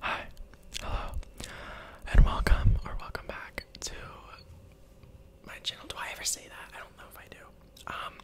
Hi, hello, and welcome or welcome back to my channel. Do I ever say that? I don't know if I do. Um,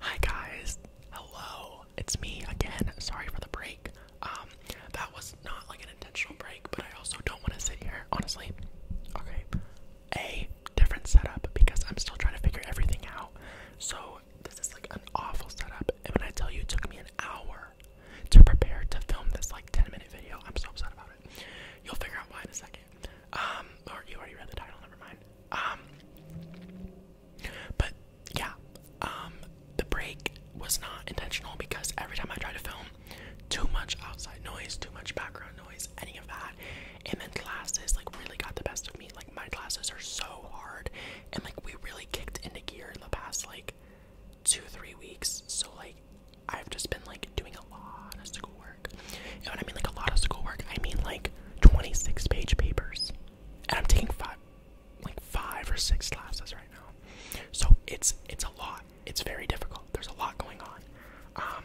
hi guys, hello, it's me again. Sorry for the break. Um, that was not like an intentional break, but I also don't want to sit here, honestly. Okay, a different setup because I'm still trying to figure everything out. So this is like an awful setup. And when I tell you it took me an hour to prepare to film this like 10 minute video, I'm so upset about it. You'll figure out why in a second. Um, or you already read the title, never mind. Um, but yeah, um, the break was not intentional because every time I try to film, too much outside noise, too much background noise, any of that, and then classes like really got the best of me. Like my classes are so hard, and like we really kicked into gear in the past like two three weeks. So like I've just been like doing a lot of schoolwork. You know what I mean? Like a lot of schoolwork. I mean like 26 page papers, and I'm taking five like five or six classes right now. So it's it's a lot. It's very difficult. There's a lot going on. Um,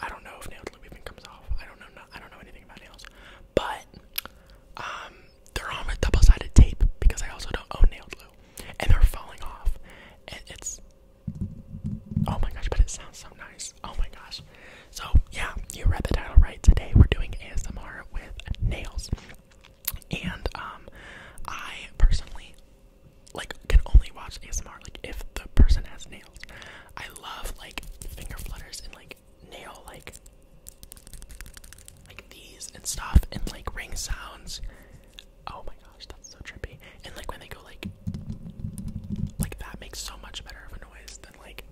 I, don't know if nail even comes off. I don't know. I don't know anything about nails, but um, they're on with double-sided tape because I also don't own nail glue, and they're falling off. And it's oh my gosh, but it sounds so nice. Oh my gosh. So yeah, you read the title right. Today we're doing ASMR with nails, and um, I personally like can only watch ASMR like if the person has nails. I love like finger flutters and like nail like like these and stuff and like ring sounds. Oh my gosh, that's so trippy. And like when they go like like that makes so much better of a noise than like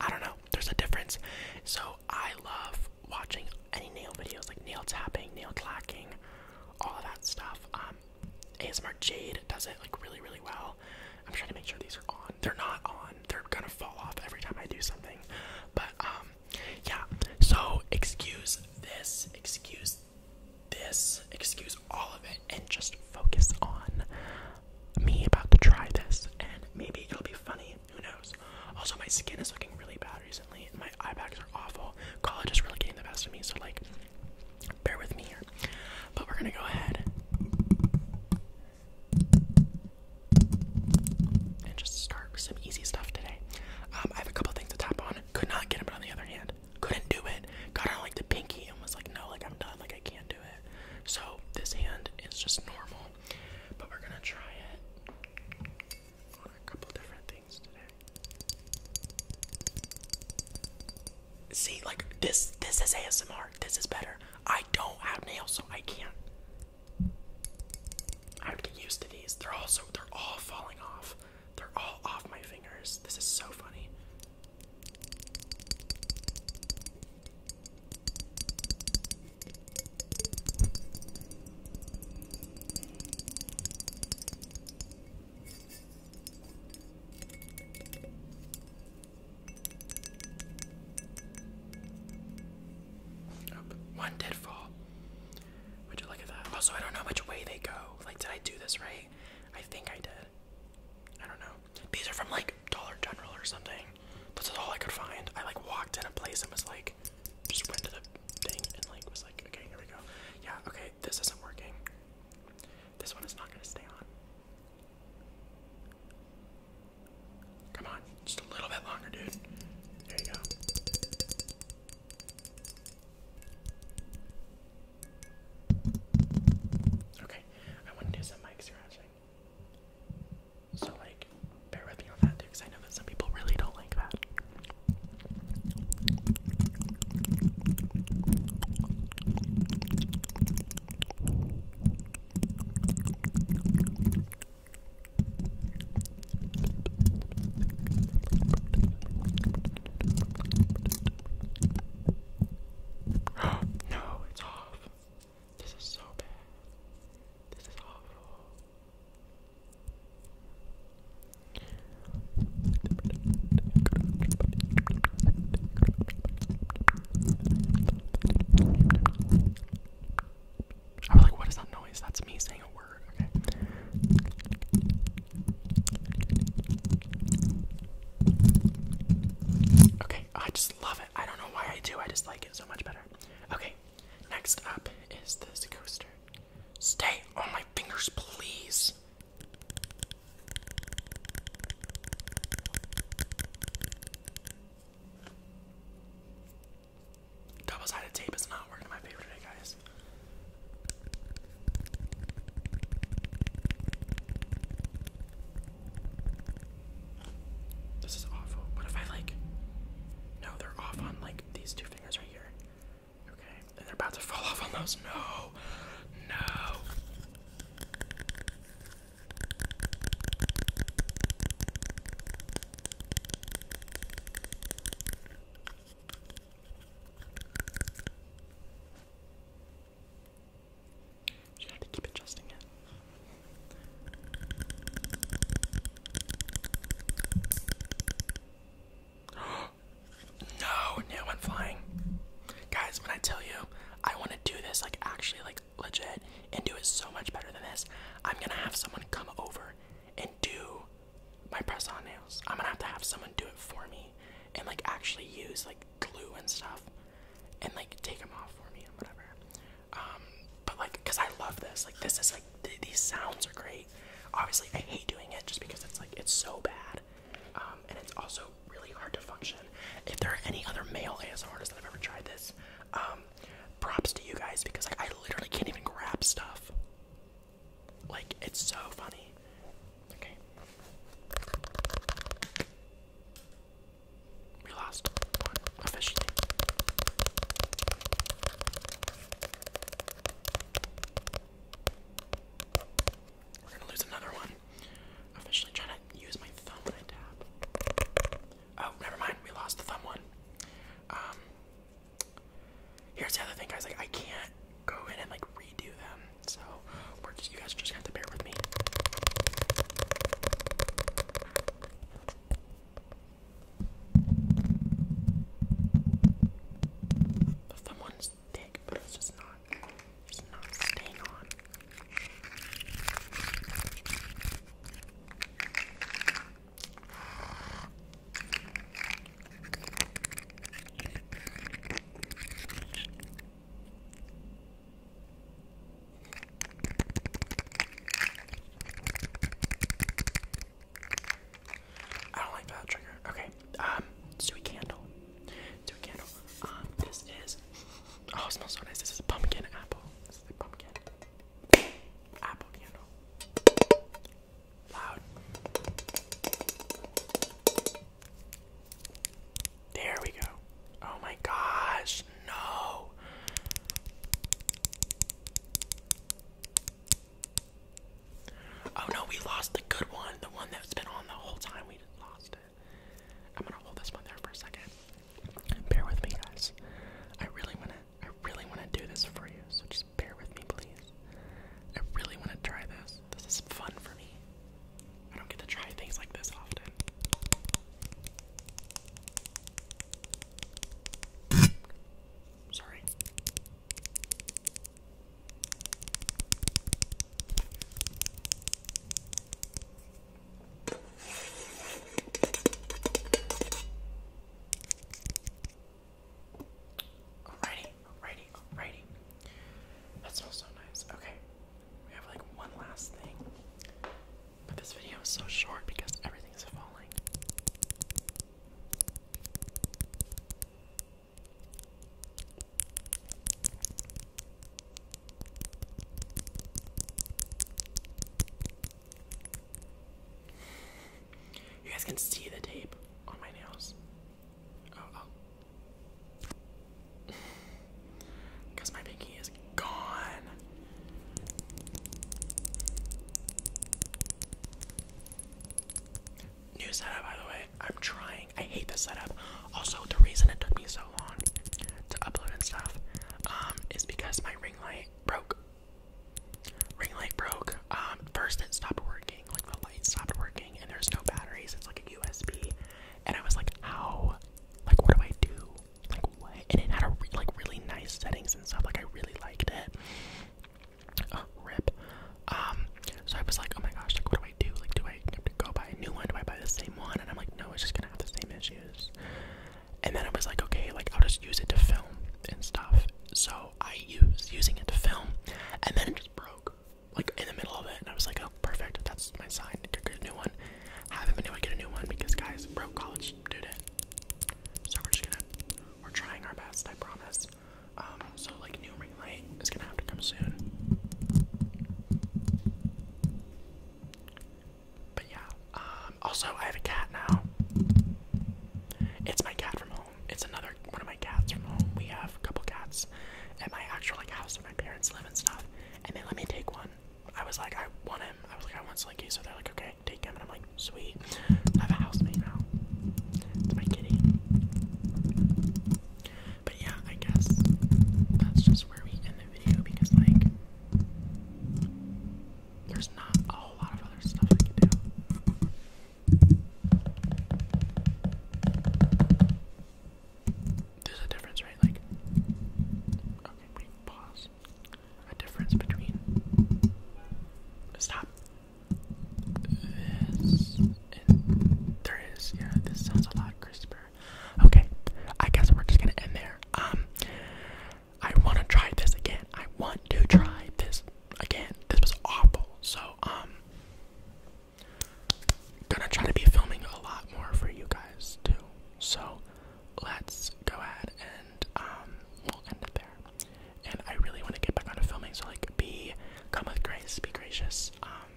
I, don't know. There's a difference. So I love watching any nail videos like nail tapping, nail clacking, all of that stuff. Um, ASMR Jade does it like really, really well. I'm trying to make sure these are on. They're not on. They're gonna fall off every time I do something. But um, yeah. So excuse this. Excuse this. Excuse all of it, and just focus on me about to try this, and maybe it'll be funny. Who knows? Also, my skin is looking really bad recently. And my eye bags are awful. College is really getting the best of me. So like, bear with me here. But we're gonna go ahead and just start some easy stuff today. Um, I have a couple things to tap on. Could not get them on the other hand. Couldn't do it. Got on like the pinky and was like, no, like I'm done, like I can't do it. So this hand is just normal. But we're gonna try it on a couple different things today. See, like this this is ASMR. This is better. I don't have nails, so I can't. I would get used to these. They're all so they're all falling off. They're all off my fingers. This is so funny. Oh, one did fall. Would you look at that? Also, I don't know which way they go. Like, did I do this right? I think I did. I don't know. These are from like Dollar General or something. This is all I could find. I like walked in a place and was like, just went to the thing and like was like, okay, here we go. Yeah, okay, this isn't working. This one is not going to stay on. Come on, just a little bit longer, dude. There you go. Okay, I want to do some mic scratching. So, like, bear with me on that, too, because I know that some people really don't like that. no, it's off. This is so bad. This is awful. I was like, what is that noise? That's me saying a word. Okay. Okay, I just love it. I don't know why I do. I just like it so much better. Okay, next up is this coaster. Stay on my fingers, please. Double-sided tape is not working in my favor today, guys. This is awful. What if I like? No, they're off on like these two fingers right here. Okay, they're about to fall off on those. No, no. Should I to keep adjusting it? Oh, no, no, i flying. Guys, when I tell you I want to do this, like actually, like legit, and do it so much better than this, I'm gonna have someone come over and do my press on nails. I'm gonna have to have someone do it for me and like actually use like glue and stuff and like take them off for me and whatever. Um, but like, cause I love this. Like, this is like, these sounds are great. Obviously, I hate doing it just because it's like it's so bad, um, and it's also really hard to function. If there are any other male ASMR artists that have ever tried this, um, props to you guys because I literally can't even grab stuff. Like it's so funny. Okay. We lost officially. We're gonna lose another one. Officially trying to use my thumb when I tap. Oh, never mind. We lost the thumb one. Um, here's the other thing, guys. Like, I can't go in and like redo them, so we're just you guys just have to bear with me. Someone's dick, but it's just not, it's not staying on. I don't like that trigger. Okay. Um, sweet candle. Sweet candle. Um, this is oh, it smells so nice. This is a pumpkin apple. This is a pumpkin apple candle. Loud. There we go. Oh my gosh, no. Oh no, we lost the good one. The one that's been on the whole time. We lost it. I'm gonna hold this one there for a second. Bear with me, guys. I really wanna, I really wanna do this for you. So just bear with me, please. I really wanna try this. This is fun for me. I don't get to try things like this often. Sorry. Alrighty, alrighty, alrighty. That smells so nice. Okay, we have like one last thing. But this video is so short because everything's falling. You guys can see the tape on my nails. Oh, oh. Because my pinky is gone. New setup, by the way. I'm trying. I hate this setup. Also, the reason it took me so long to upload and stuff um, is because my ring light broke. Ring light broke. Um, first, it stopped working. Like the light stopped working, and there's no batteries. It's like a USB. And I was like, how? Like, what do I do? and it had a like really nice settings and stuff. Like I really liked it. Uh, rip. Um, so I was like, oh my gosh, like what do I do? Like, do I go buy a new one? Do I buy the same one? And I'm like, no, it's just gonna have the same issues. And then I was like, okay, like I'll just use it to film and stuff. So I use using it to film, and then it just broke, like in the middle of it. And I was like, oh, perfect, that's my sign. to Get a new one. Haven't been able to get a new one because guys, broke college student. So we're just gonna, we're trying our best, I promise. Um, so like new ring light is gonna have to come soon. But yeah, um, also I have a cat now. It's my cat from home. It's another one of my cats from home. We have a couple cats at my actual like house that my parents live and stuff, and they let me take one. I was like, I want him. I was like, I want Slinky. So they're like, okay, take him. And I'm like, sweet. I have a housemate now. It's my kitty. But yeah, I guess that's just where we end the video because, like, there's not a whole lot of other stuff I can do. There's a difference, right? Like, okay, wait, pause a difference between stop this and there is yeah this sounds a lot crisper okay i guess we're just gonna end there um i want to try this again i want to try this again this was awful so um gonna try to be filming a lot more for you guys too so let's go ahead and um we'll end it there. And I really want to get back onto filming, so like be come with grace, be gracious, um,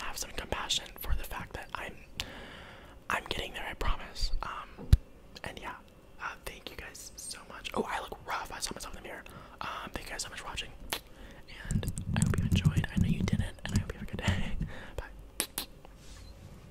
have some compassion for the fact that I'm I'm getting there, I promise. Um and yeah, uh, thank you guys so much. Oh I look rough, I saw myself in the mirror. Um thank you guys so much for watching. And I hope you enjoyed. I know you didn't, and I hope you have a good day. Bye.